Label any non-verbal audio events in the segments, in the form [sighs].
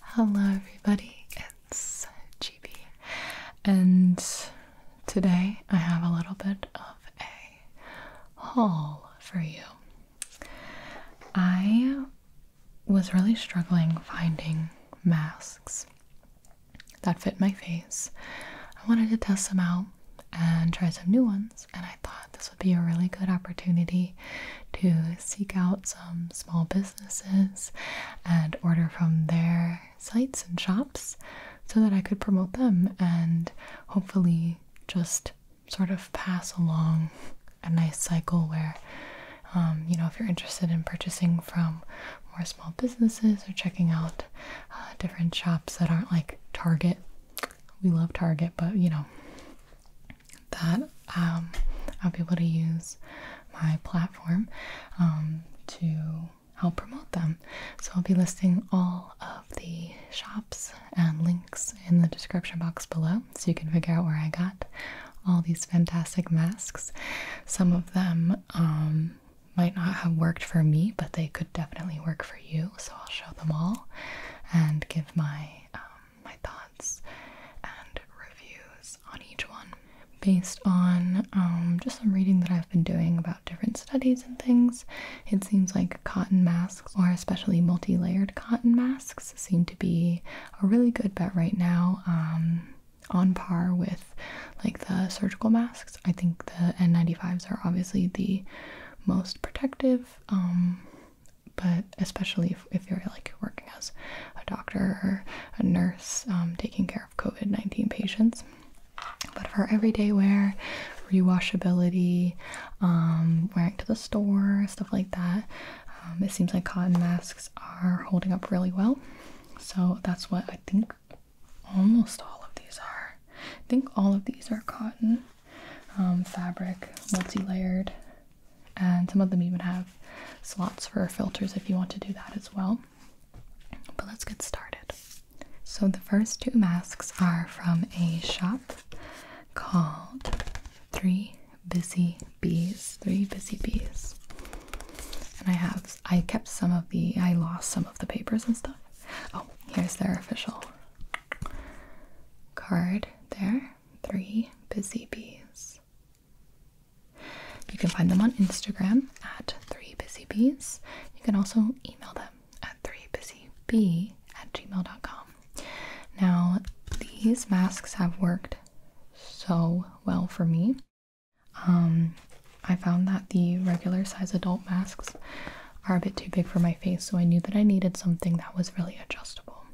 Hello, everybody, it's GB, and today I have a little bit of a haul for you. I was really struggling finding masks that fit my face. I wanted to test them out and try some new ones, and I thought this would be a really good opportunity to seek out some small businesses and order from their sites and shops so that I could promote them and hopefully just sort of pass along a nice cycle where, um, you know, if you're interested in purchasing from more small businesses or checking out uh, different shops that aren't like Target. We love Target, but you know, that um, I'll be able to use my platform um, to help promote them. So I'll be listing all of the shops and links in the description box below so you can figure out where I got all these fantastic masks. Some of them um, might not have worked for me, but they could definitely work for you. So I'll show them all and give my my thoughts and reviews on each one based on um, just some reading that I've been doing about different studies and things. It seems like cotton masks, or especially multi layered cotton masks, seem to be a really good bet right now. Um, on par with like the surgical masks. I think the N95s are obviously the most protective um, but especially if, you're like working as a doctor or a nurse um, taking care of COVID 19 patients. But for everyday wear, rewashability, um, wearing to the store, stuff like that, um, it seems like cotton masks are holding up really well. So that's what I think almost all of these are. I think all of these are cotton um, fabric, multi layered and some of them even have slots for filters if you want to do that as well. But let's get started. So, the first two masks are from a shop called Three Busy Bees. Three Busy Bees. And I have, I kept some of the, I lost some of the papers and stuff. Oh, here's their official card there. Three Busy Bees. You can find them on Instagram at 3busybees. You can also email them at 3busybee at gmail.com. Now, these masks have worked so well for me. Um, I found that the regular size adult masks are a bit too big for my face, so I knew that I needed something that was really adjustable,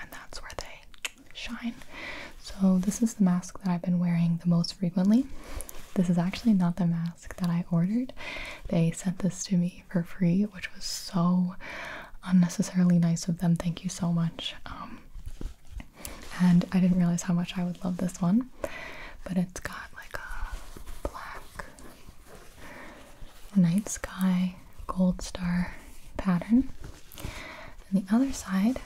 and that's where they shine. So this is the mask that I've been wearing the most frequently. This is actually not the mask that I ordered. They sent this to me for free, which was so unnecessarily nice of them. Thank you so much. Um, and I didn't realize how much I would love this one, but it's got like a black night sky gold star pattern. And the other side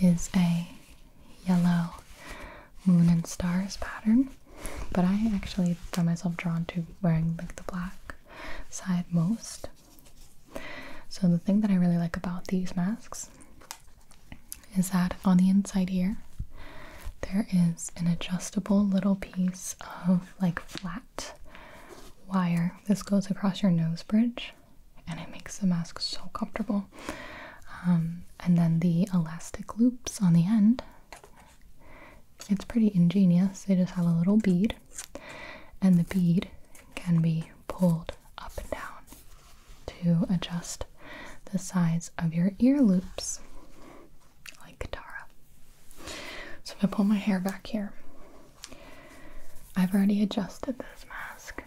is a yellow moon and stars pattern. But I actually found myself drawn to wearing like the black side most. So the thing that I really like about these masks is that on the inside here there is an adjustable little piece of like flat wire. This goes across your nose bridge and it makes the mask so comfortable. Um, and then the elastic loops on the end, it's pretty ingenious. They just have a little bead, and the bead can be pulled up and down to adjust the size of your ear loops like Tara. So i pull my hair back here. I've already adjusted this mask.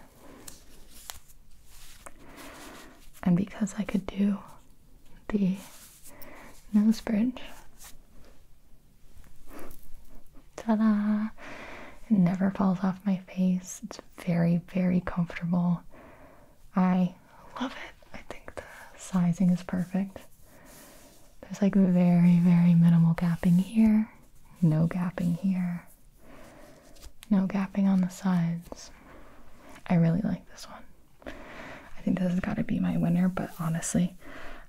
And because I could do the nose bridge, ta da! It never falls off my face. It's very, very comfortable. I love it. I think the sizing is perfect. There's like very, very minimal gapping here. No gapping here. No gapping on the sides. I really like this one. I think this has got to be my winner, but honestly,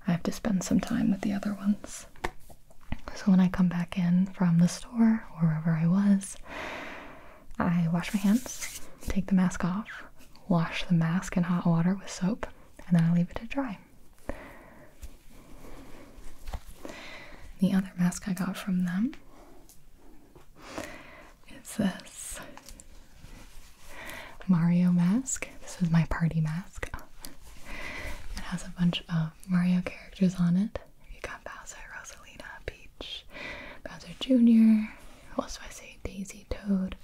I have to spend some time with the other ones. So when I come back in from the store, or wherever I was, I wash my hands, take the mask off, wash the mask in hot water with soap, and then I leave it to dry. The other mask I got from them is this Mario mask. This is my party mask. It has a bunch of Mario characters on it. You got Bowser, Rosalina, Peach, Bowser Jr., also I say Daisy, Toad,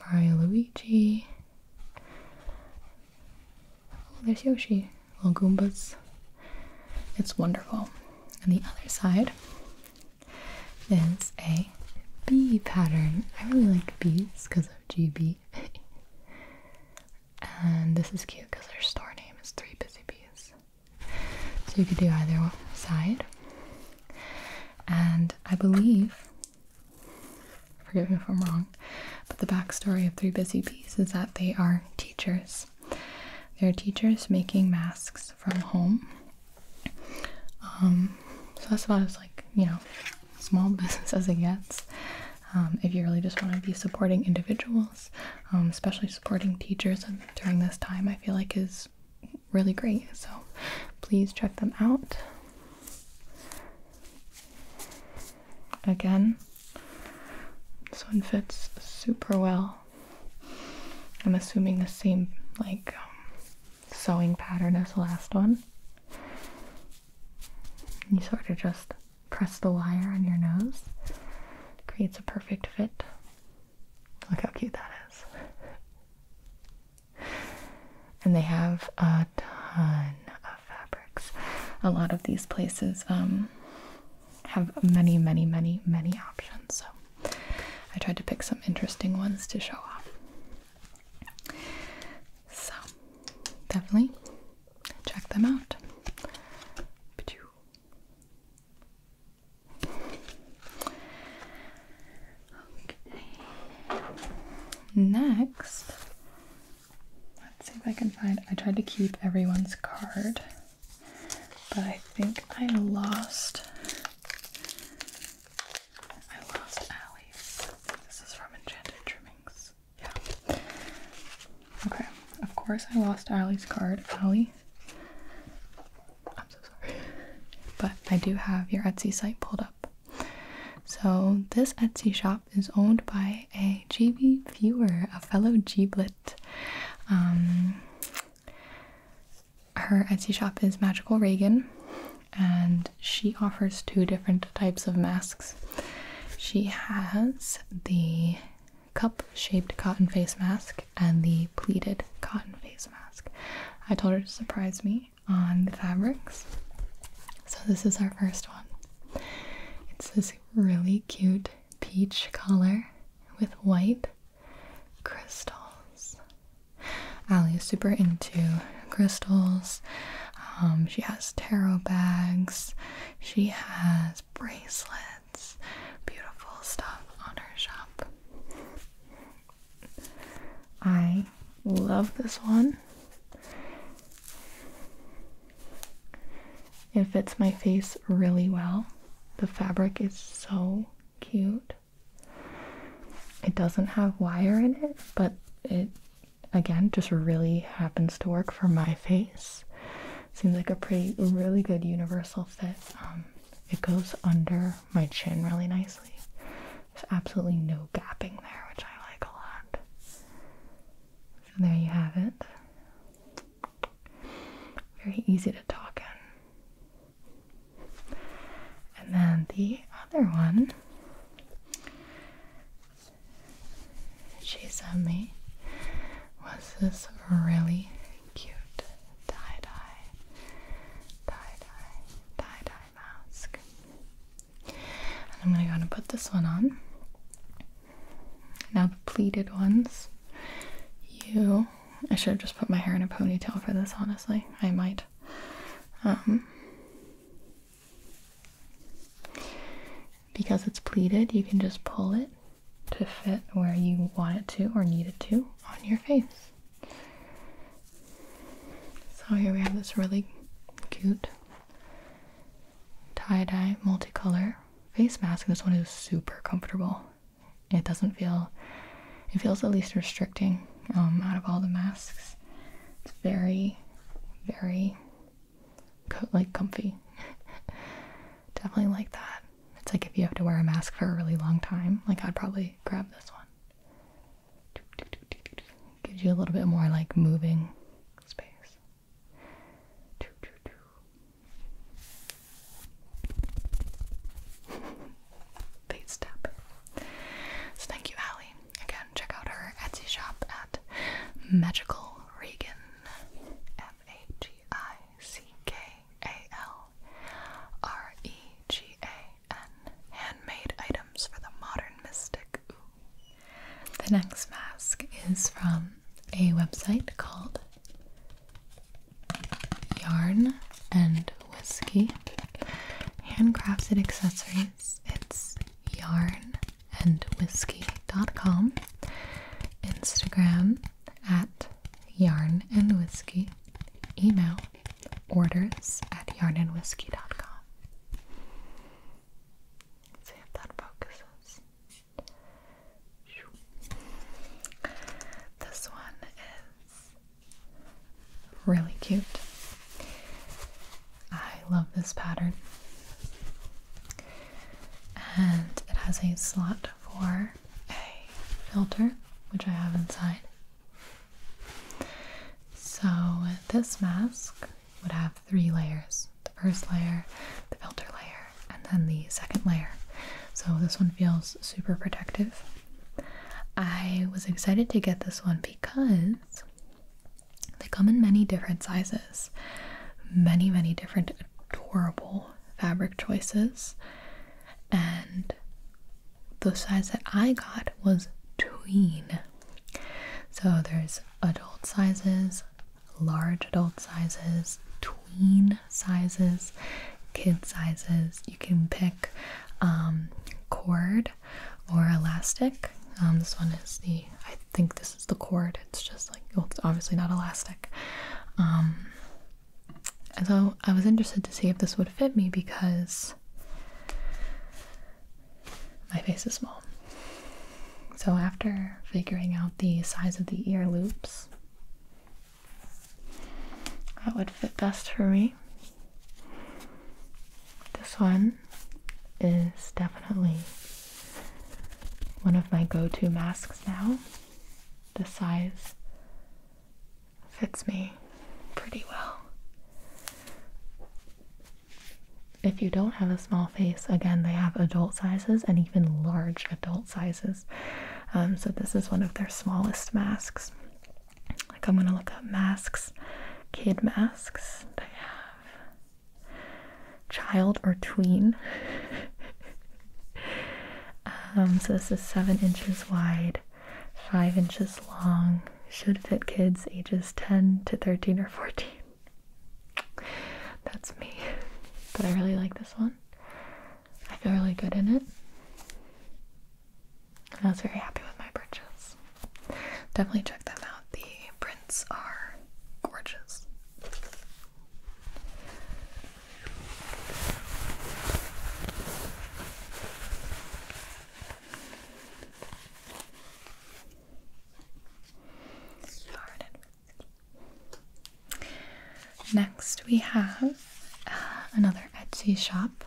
Mario, Luigi, Oh, there's Yoshi. Little Goombas. It's wonderful. And the other side is a bee pattern. I really like bees because of GB. and this is cute because their store name is Three Busy Bees. So you could do either side. And I believe Forgive me if I'm wrong, but the backstory of Three Busy Bees is that they are teachers. They're teachers making masks from home. Um, so that's about as like you know small [laughs] business as it gets. Um, if you really just want to be supporting individuals, um, especially supporting teachers during this time, I feel like is really great. So please check them out. Again, this one fits super well. I'm assuming the same like um, sewing pattern as the last one. You sort of just press the wire on your nose. Creates a perfect fit. Look how cute that is. And they have a ton of fabrics. A lot of these places um, have many, many, many, many options. So I tried to pick some interesting ones to show off. So definitely check them out. Okay. Next, let's see if I can find. I tried to keep everyone's card, but I think I lost. I lost Allie's. This is from Enchanted Trimmings. Yeah. Okay. Of course, I lost Allie's card. Allie. I'm so sorry. But I do have your Etsy site pulled up. So, this Etsy shop is owned by a GB viewer, a fellow Giblet. Um, her Etsy shop is Magical Regan, and she offers two different types of masks. She has the cup shaped cotton face mask and the pleated cotton face mask. I told her to surprise me on the fabrics. So, this is our first one. It's this really cute peach color with white crystals. Ali is super into crystals. Um, she has tarot bags, she has bracelets, beautiful stuff on her shop. I love this one. It fits my face really well. The fabric is so cute. It doesn't have wire in it, but it again just really happens to work for my face. Seems like a pretty, really good universal fit. Um, it goes under my chin really nicely. There's absolutely no gapping there, which I like a lot. So there you have it. Very easy to talk in. And then the other one she sent me was this really cute tie-dye, tie-dye, tie-dye mask. I'm going to put this one on. Now the pleated ones. You, I should have just put my hair in a ponytail for this. Honestly, I might. Um, because it's pleated, you can just pull it to fit where you want it to or need it to on your face. So here we have this really cute tie-dye multicolor face mask. This one is super comfortable. It doesn't feel it feels the least restricting um, out of all the masks. It's very, very like comfy. [laughs] Definitely like that. It's like if you have to wear a mask for a really long time, like I'd probably grab this one. Gives you a little bit more like moving space. Face [laughs] tap. So thank you, Allie. Again, check out her Etsy shop at Magical Regan. M A G I C K A L R E G A Handmade items for the modern mystic. The next mask is from a website called Yarn and Whiskey. Handcrafted accessories. It's yarnandwhiskey.com. Instagram at yarnandwhiskey. Email orders at yarnandwhiskey.com. See if that focuses. This one is really cute. I love this pattern. And it has a slot for a filter, which I have inside. So, this mask would have three layers the first layer, the filter layer, and then the second layer. So, this one feels super protective. I was excited to get this one because they come in many different sizes, many, many different adorable fabric choices, and the size that I got was tween. So there's adult sizes, large adult sizes, tween sizes, kid sizes. You can pick um, cord or elastic. Um, this one is the, I think this is the cord. It's just like, it's obviously not elastic. Um, so I was interested to see if this would fit me because my face is small. So, after figuring out the size of the ear loops, that would fit best for me. This one is definitely one of my go to masks now. The size fits me pretty well. If you don't have a small face, again, they have adult sizes and even large adult sizes. Um, so, this is one of their smallest masks. Like, I'm gonna look up masks, kid masks. I have child or tween. [laughs] Um, so, this is seven inches wide, five inches long, should fit kids ages 10 to 13 or 14. That's me. But I really like this one. I feel really good in it. I was very happy with my purchase. Definitely check them out. The prints are gorgeous. Next, we have uh, another Etsy shop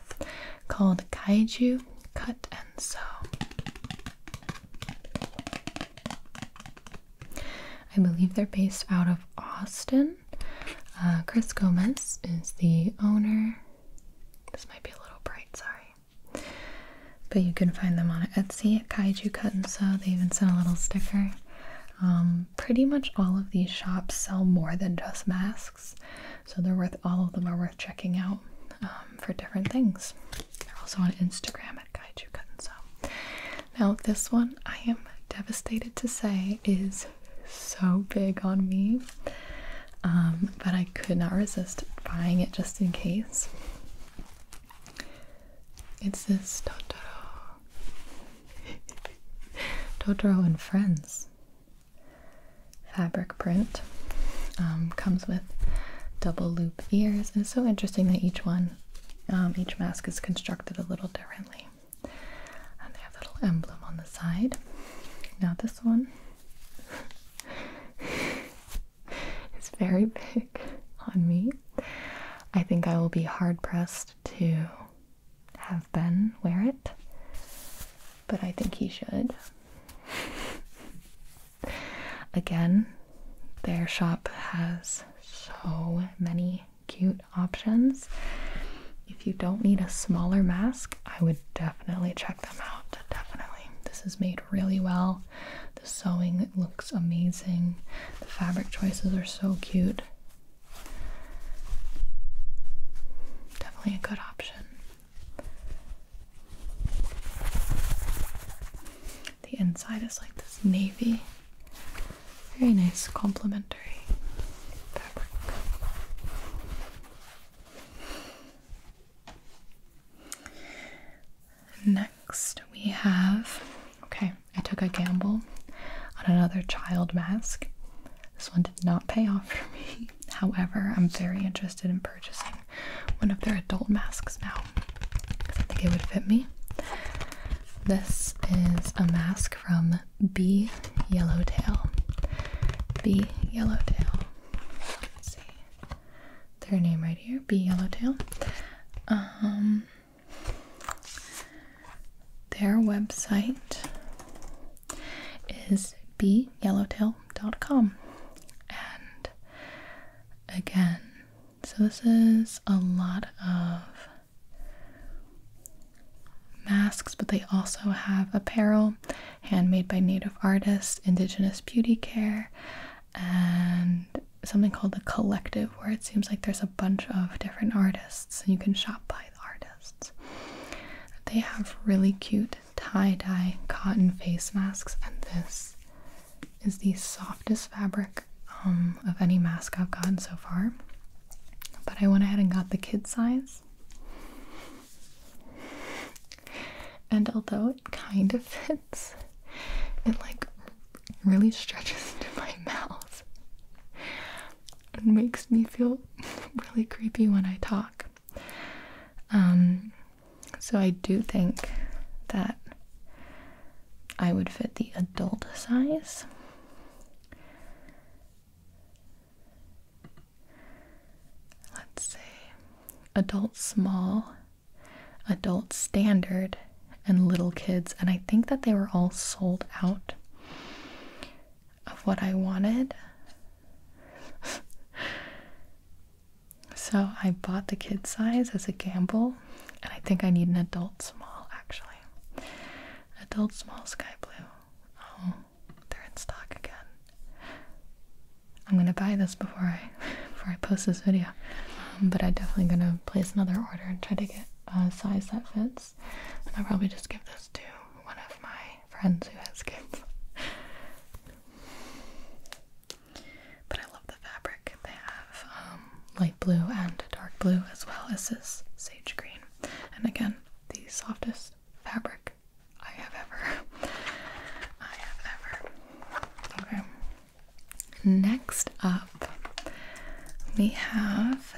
called Kaiju Cut and Sew. I believe they're based out of Austin. Uh, Chris Gomez is the owner. This might be a little bright, sorry. But you can find them on Etsy at Kaiju Cut and Sew. They even sent a little sticker. Um, pretty much all of these shops sell more than just masks, so they're worth all of them are worth checking out um, for different things. They're also on Instagram at Kaiju Cut and Sew. Now this one I am devastated to say is so big on me. Um, but I could not resist buying it just in case. It's this Totoro. [laughs] Totoro and Friends fabric print. Um, comes with double loop ears. it's so interesting that each one, um, each mask is constructed a little differently. And they have a little emblem on the side. Now this one [laughs] [laughs] It's very big on me. I think I will be hard pressed to have Ben wear it, but I think he should. [laughs] Again, their shop has so many cute options. If you don't need a smaller mask, I would definitely check definitely. This is made really well. The sewing looks amazing. The fabric choices are so cute. Definitely a good option. The inside is like this navy, very nice complementary fabric. Next, we have okay, I took a gamble on another child mask. This one did not pay off for me. [laughs] However, I'm very interested in purchasing one of their adult masks now I think it would fit me. This is a mask from B Yellowtail. B Yellowtail. Let's see their name right here, bee yellowtail. Um, their website is beeyellowtail.com, and again, so this is a lot of masks, but they also have apparel handmade by native artists, indigenous beauty care, and something called the collective, where it seems like there's a bunch of different artists and you can shop by artists. They have really cute tie-dye cotton face masks, and this is the softest fabric um, of any mask I've gotten so far. But I went ahead and got the kid size. And although it kind of fits, it like really stretches [laughs] to my mouth and makes me feel [laughs] really creepy when I talk. Um, so I do think that I would fit the adult size let's see, adult small, adult standard, and little kids. And I think that they were all sold out of what I wanted. so I bought the kid size as a gamble, and I think I need an adult small actually. Adult small sky blue. Oh, they're in stock again. I'm gonna buy this before I [laughs] before I post this video, um, but I'm definitely gonna place another order and try to get a size that fits. And I'll probably just give this to one of my friends who has kids. but I love the fabric. They have um, light blue and dark blue as well as this sage green, and again the softest fabric I have ever. [laughs] I have ever. Okay. Next up, we have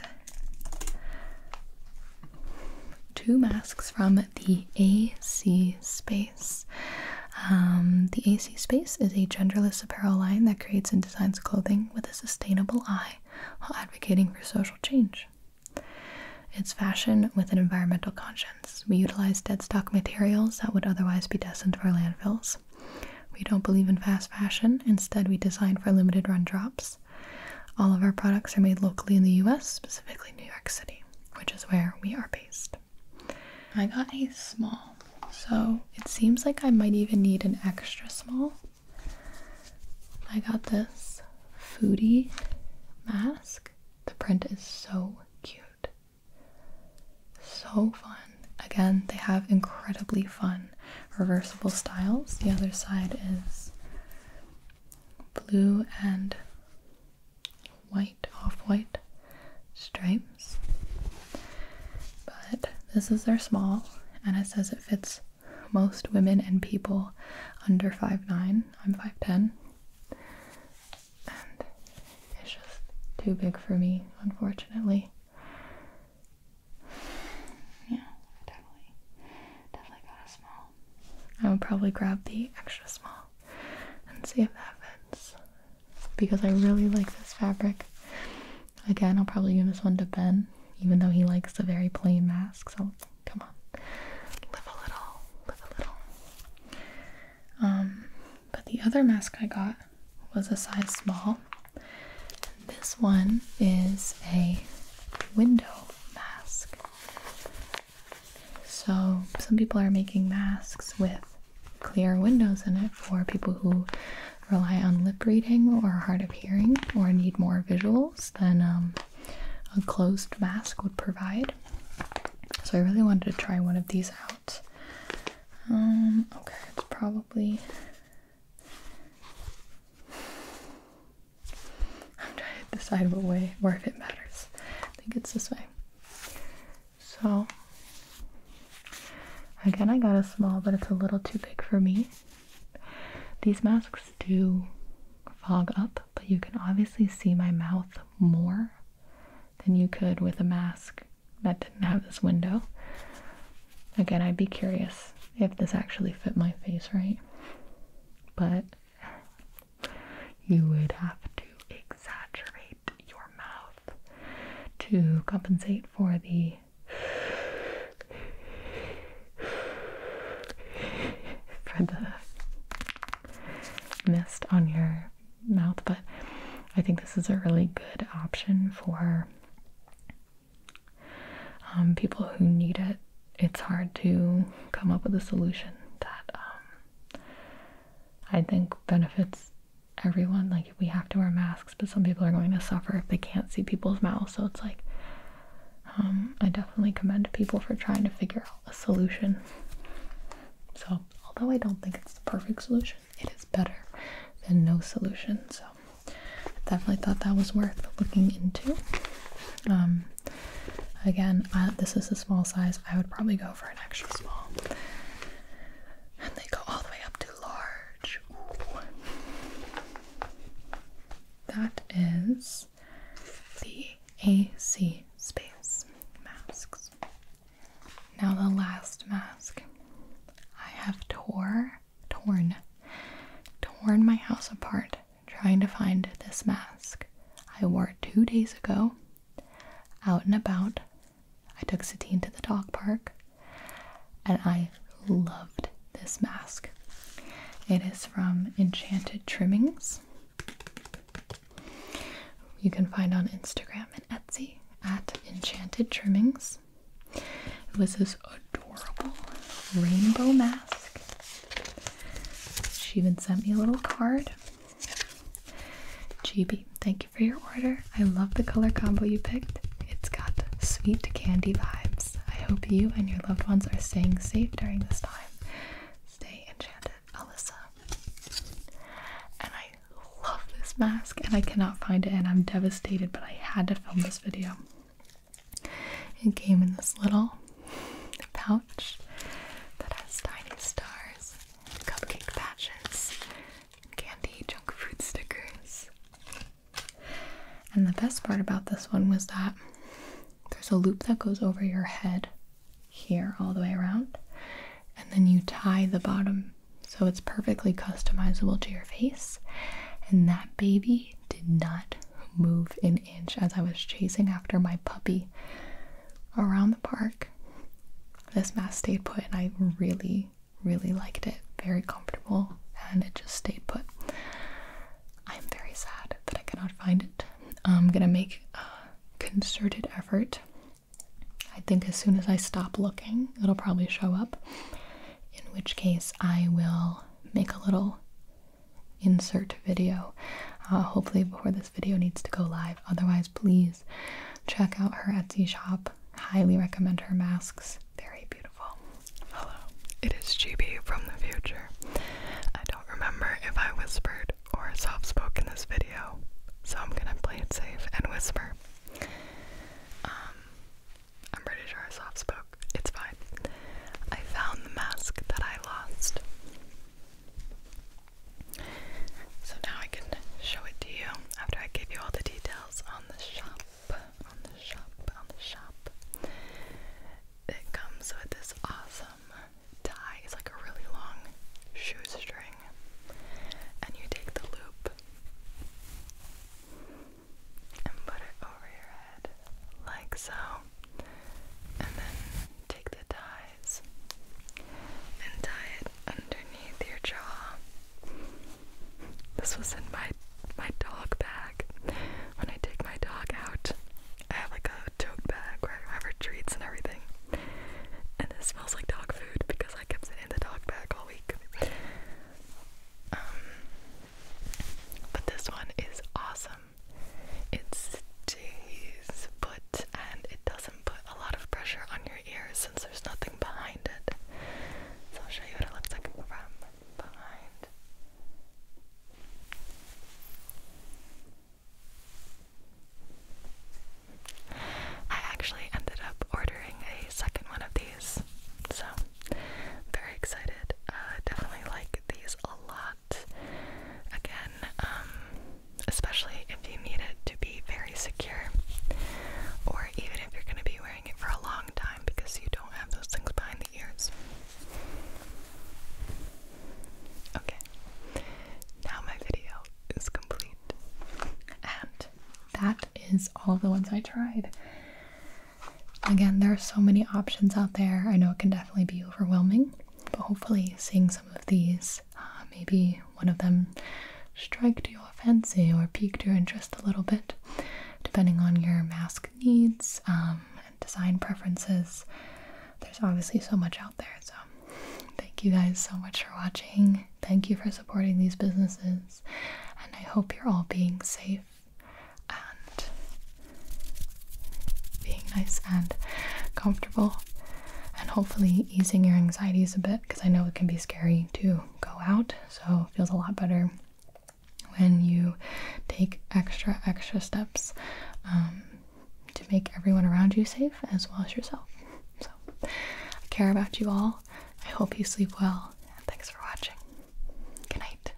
two masks from the AC Space. Um, the AC Space is a genderless apparel line that creates and designs clothing with a sustainable eye while advocating for social change. It's fashion with an environmental conscience. We utilize dead stock materials that would otherwise be destined for landfills. We don't believe in fast fashion. Instead, we design for limited run drops. All of our products are made locally in the US, specifically New York City, which is where we are based. I got a small, so it seems like I might even need an extra small. I got this foodie mask. The print is so cute. So fun. Again, they have incredibly fun reversible styles. The other side is blue and white, off-white stripes. But this is their small, and it says it fits most women and people under five nine. I'm 5'10 and it's just too big for me, unfortunately. Yeah, definitely, definitely got a small. I would probably grab the extra small and see if that fits because I really like this fabric. Again, I'll probably give this one to Ben, even though he likes the very plain mask. So Come on. Live a little. Live a little. Um, but the other mask I got was a size small. This one is a window mask. So, some people are making masks with clear windows in it for people who rely on lip reading or are hard of hearing or need more visuals than um, a closed mask would provide. So I really wanted to try one of these out. Um, okay, it's probably. I'm trying to decide what way or if it matters. I think it's this way. So again, I got a small, but it's a little too big for me. These masks do fog up, but you can obviously see my mouth more than you could with a mask that didn't have this window. Again, I'd be curious if this actually fit my face right, but you would have to exaggerate your mouth to compensate for the [sighs] for the mist on your mouth, but I think this is a really good option for um, people who need it. It's hard to come up with a solution that um, I think benefits everyone. Like, we have to wear masks, but some people are going to suffer if they can't see people's mouths. So it's like, um, I definitely commend people for trying to figure out a solution. So, although I don't think it's the perfect solution, it is better than no solution. So, definitely thought that was worth looking into. Um, again, this is a small size. I would probably go for an extra small. And they go all the way up to large. That is the AC space masks. Now the last mask. I have tore, torn, torn my house apart trying to find this mask. I wore it two days ago, out and about. I took Satine to the dog park, and I loved this mask. It is from Enchanted Trimmings you can find on Instagram and Etsy at Enchanted Trimmings. It was this adorable rainbow mask. She even sent me a little card. GB, thank you for your order. I love the color combo you picked. It's got sweet candy vibes. I hope you and your loved ones are staying safe during this time. Stay enchanted. Alyssa. And I love this mask and I cannot find it and I'm devastated, but I had to film this video. It came in this little pouch that has tiny stars, cupcake patches, candy, junk food stickers. And the best part about this one was that there's a loop that goes over your head here all the way around, and then you tie the bottom so it's perfectly customizable to your face. And that baby did not move an inch as I was chasing after my puppy around the park. This mask stayed put, and I really, really liked it. Very comfortable, and it just stayed put. I'm very sad that I cannot find it. I'm gonna make concerted effort. I think as soon as I stop looking, it'll probably show up. In which case, I will make a little insert video, uh, hopefully, before this video needs to go live. Otherwise, please check out her Etsy shop. Highly recommend her masks, very beautiful. Hello, it is GB from the future. I don't remember if I whispered or a soft spoke in this video, so I'm gonna play it safe and whisper. Um, I'm pretty sure I soft spoke. It's fine. I found the mask that I lost. So now I can show it to you after I give you all the details on the shop. On the shop, on the shop. It comes with this awesome tie is like a really long shoestring, and you take the loop and put it over your head like so, and then take the ties and tie it underneath your jaw. This was in my my dog bag when I take my dog out I have like a tote bag where I have her treats and everything. And it smells like dog food because I kept it in the dog bag all week. Um, but this one is awesome. It stays put and it doesn't put a lot of pressure on your ears since there's nothing behind it. So I'll show you what it looks like from behind. I actually ended up ordering a second one of these, so very excited. Uh, definitely like these a lot. Again, um, especially if you need it to be very secure, or even if you're going to be wearing it for a long time because you don't have those things behind the ears. Okay, now my video is complete. And that is all the ones I tried. Again, there are so many options out there. I know it can definitely be overwhelming, but hopefully, seeing some of these, uh, maybe one of them striked your fancy or piqued your interest a little bit, depending on your mask needs um, design preferences. There's obviously so much out there. So, thank you guys so much for watching. Thank you for supporting these businesses. And I hope you're all being safe and being nice and comfortable. And hopefully, easing your anxieties a bit because I know it can be scary to go out. So, feels a lot better when you take extra, extra steps um, to make everyone around you safe as well as yourself. So, I care about you all. I hope you sleep well, and thanks for watching. Good night.